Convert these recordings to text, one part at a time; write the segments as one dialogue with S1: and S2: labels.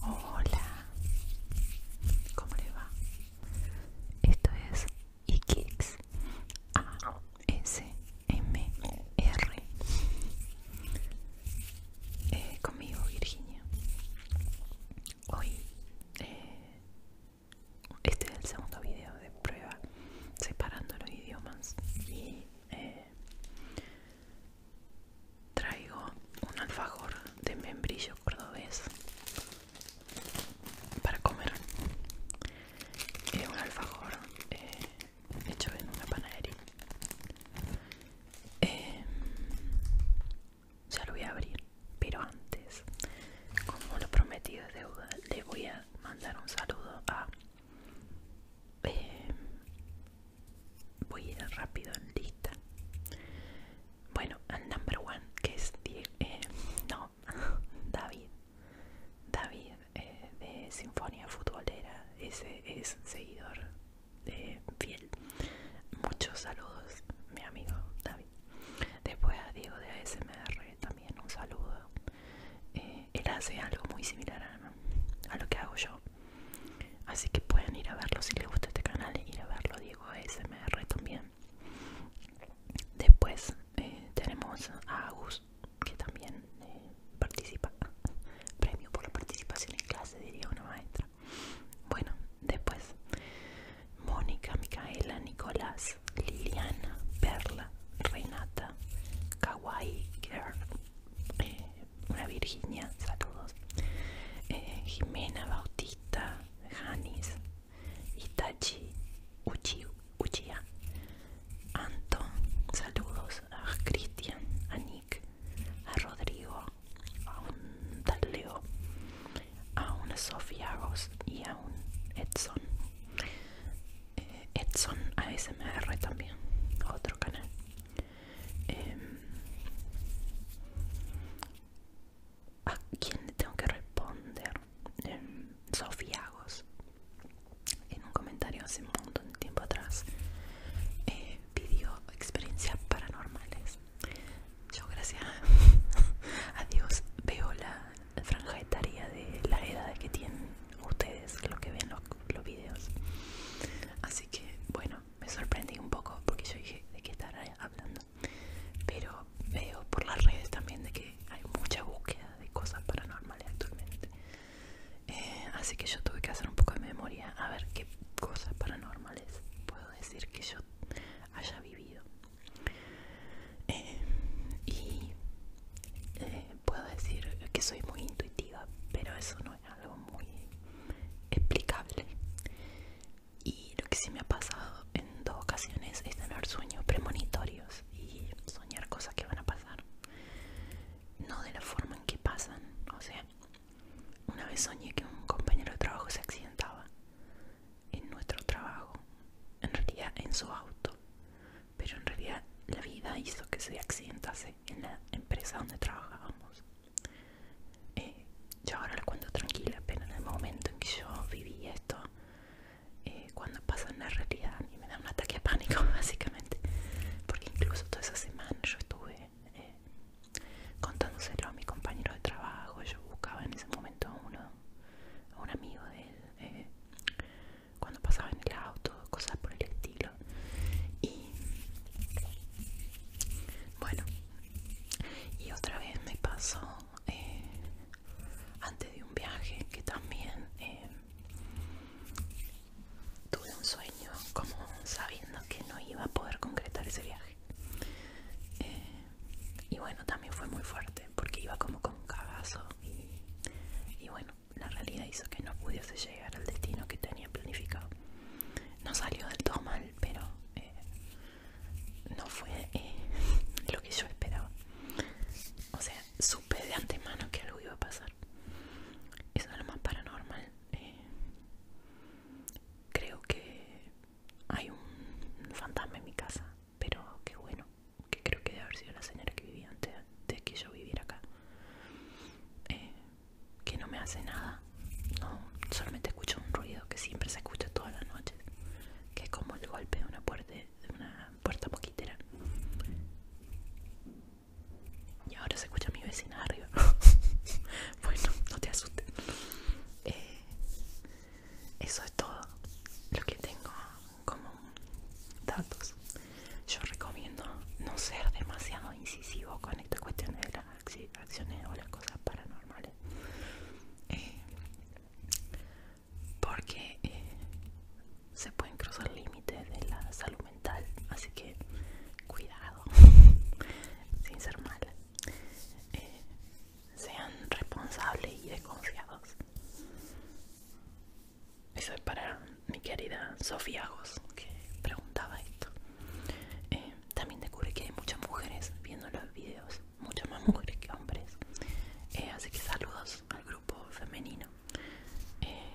S1: Hola, ¿cómo le va? Esto es Ikix A S M R eh, conmigo Virginia. Hoy eh, este es el segundo video de prueba separando los idiomas y eh, traigo un alfajor de membrillo cordobés para comer. un alfajor eh, hecho en una panadería. Eh, ya lo voy a abrir, pero antes, como lo prometido es deuda, le voy a mandar un saludo a Em, voy a ir rápido en lista bueno el number one que es eh, no David David eh, de Sinfonía Futbolera ese es seguidor de fiel muchos saludos mi amigo David después a Diego de ASMR también un saludo eh, él hace algo muy similar a lo que hago yo Así que pueden ir a verlo si les gusta este canal, ir a verlo, Diego ASMR también. Después eh, tenemos a Agus, que también eh, participa, premio por la participación en clase, diría una maestra. Bueno, después Mónica, Micaela, Nicolás, Liliana, Perla, Renata, Kawaii Girl, eh, una Virginia, saludos, eh, Jimena Bautista, Janis, Itachi, Uchi, Uchiha, Anton, saludos a Cristian, a Nick, a Rodrigo, a un tal a una Sofía y a un Edson. Eh, Edson ASMR también, otro canal. Em, ¿A quién le tengo que responder? Em, Sofiagos, en un comentario hace un montón de tiempo atrás, eh, pidió experiencias paranormales. Yo, gracias a Dios, veo la franja etaria de la edad que tienen ustedes, lo que ven los, los videos. Así Así que bueno, me sorprendí un poco porque yo dije de qué estar hablando. Pero veo por las redes también de que hay mucha búsqueda de cosas paranormales actualmente. Eh, así que yo tuve que hacer un poco de memoria a ver qué cosas paranormales puedo decir que yo haya vivido. Eh, y eh, puedo decir que soy muy intuitiva, pero eso no es algo muy explicable. Y lo que sí me ha pasado en dos ocasiones es tener sueños premonitorios y soñar cosas que van a pasar. No de la forma en que pasan. O sea, una vez soñé que un compañero de trabajo se accidentaba en nuestro trabajo, en realidad en su auto, pero en realidad la vida hizo que se accidentase en la empresa donde trabajábamos. Eh, yo ahora lo cuento tranquila, apenas en el momento en que yo viví esto, eh, cuando pasa en la realidad, a mí me da un ataque de pánico, básicamente. Porque incluso toda esa semana yo estuve eh, contándoselo a mi compañero de trabajo. Yo buscaba en ese momento a, uno, un amigo de él cuando pasaba en el auto, cosas por el estilo y bueno y otra vez me pasó eh, antes de un viaje que también eh, tuve un sueño como sabiendo que no iba a poder concretar ese viaje eh, y bueno también fue muy fuerte porque iba como con un cagazo y bueno la realidad hizo que no pudiese llegar al destino que tenía planificado. No salió del todo mal, pero eh, no fue eh, lo que yo esperaba. O sea, supe de antemano que algo iba a pasar. Eso es lo más paranormal. Eh. creo que hay un fantasma en mi casa, pero qué bueno, que creo que debe haber sido la señora que vivía antes de que yo viviera acá. Eh, que no me hace nada. No, solamente escucho un ruido que siempre se escucha todas las noches, que es como el golpe de una puerta, de una puerta poquitera. Y ahora se escucha mi vecina arriba. bueno, no te asustes. Eh, eso es todo lo que tengo como datos yo recomiendo no ser demasiado incisivo con estas cuestiones de las acciones o las cosas paranormales eh, porque eh, se pueden cruzar límites de la salud mental así que cuidado sin ser mal eh, sean responsables y desconfiados eso es para mi querida Sofía Agos, que preguntaba esto. Eh, también descubrí que hay muchas mujeres viendo los videos, muchas más mujeres que hombres. Eh, así que saludos al grupo femenino. Eh,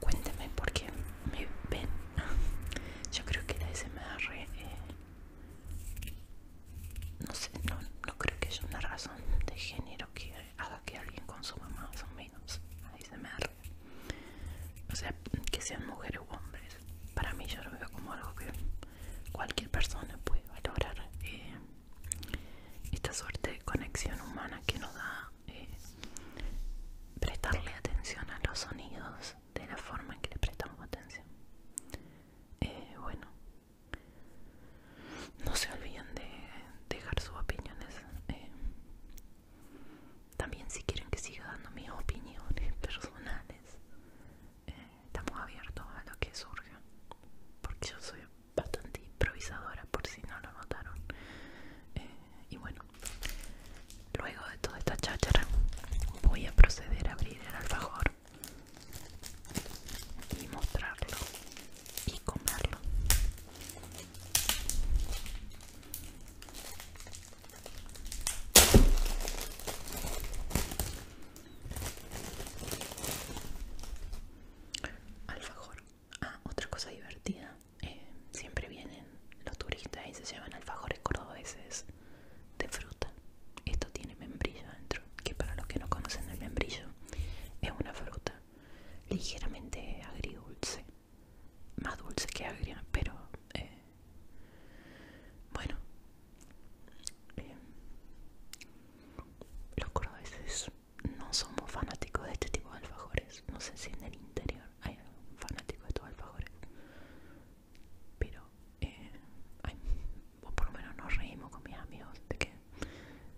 S1: cuénteme por qué me ven. Yo creo que la SMR... no sé, no, no creo que haya una razón de género que haga que alguien consuma más o menos se me arre. O sea, que sean mujeres u hombres. Para mí yo lo veo como algo que cualquier persona puede valorar. Eh, esta suerte de conexión humana que nos da eh, prestarle atención a los sonidos de la forma en que le prestamos atención. Eh, bueno, no se olviden de dejar sus opiniones. Eh, también si quieren que siga dando mis opiniones personales, eh, estamos abiertos a lo que surja. Porque yo soy bastante improvisadora, por si no lo notaron. Eh, y bueno, luego de toda esta cháchara, voy a proceder a abrir el alfajor y mostrarlo y comerlo Alfajor. Ah, otra cosa divertida. Eh, siempre vienen los turistas y se llevan alfajores cordobeses de fruta. Esto tiene membrillo dentro. que para los que no conocen el membrillo es una fruta ligeramente agridulce, más dulce que agria, pero eh, bueno, em, los veces no somos fanáticos de este tipo de alfajores, no sé si en el interior hay fanático de estos alfajores, pero eh, por lo menos nos reímos con mis amigos de que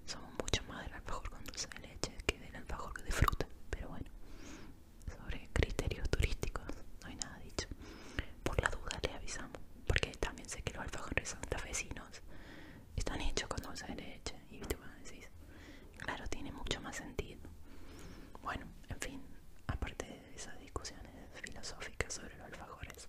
S1: somos mucho más del alfajor con dulce de leche que del alfajor de fruta, pero bueno, sobre criterios turísticos no hay nada dicho. Por la duda le avisamos, porque también sé que los alfajores son santafesinos están hechos con dulce de leche y claro, tiene mucho más sentido. Bueno, en fin, aparte de esas discusiones filosóficas sobre los alfajores.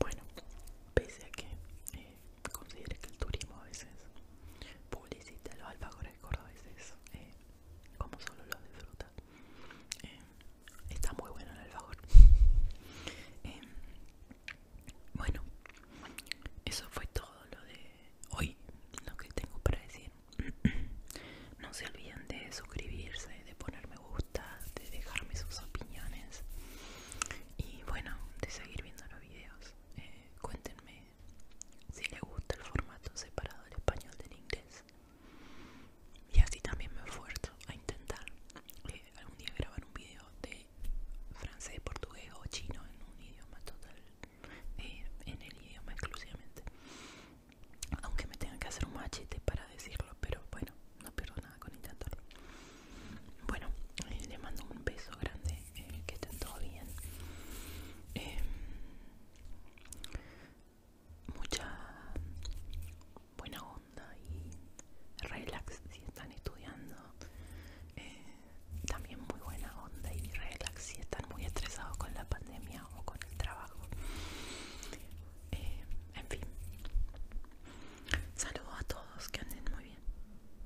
S1: Bueno, pese a que eh, que el turismo a veces publicita los alfajores cordobeses eh, como solo los disfrutan eh, está muy bueno el alfajor. Eh, bueno, eso fue todo lo de hoy, lo que tengo para decir. no se olviden de suscribirse, de poner me gusta, de dejarme sus opiniones y bueno, de seguir viendo los videos. Eh, cuéntenme si le gusta el formato separado del español del inglés. Y así también me esfuerzo a intentar algún día grabar un video de francés, portugués o chino en un idioma total, eh, en el idioma exclusivamente. Aunque me tengan que hacer un machete para decirlo, pero bueno, no pierdo nada con intentarlo. Bueno, eh, les mando un beso grande eh, que estén todo bien. Em, mucha buena onda y relax si están estudiando. Eh, también muy buena onda y relax si están muy estresados con la pandemia o con el trabajo. Em, en fin, saludos a todos, que anden muy bien.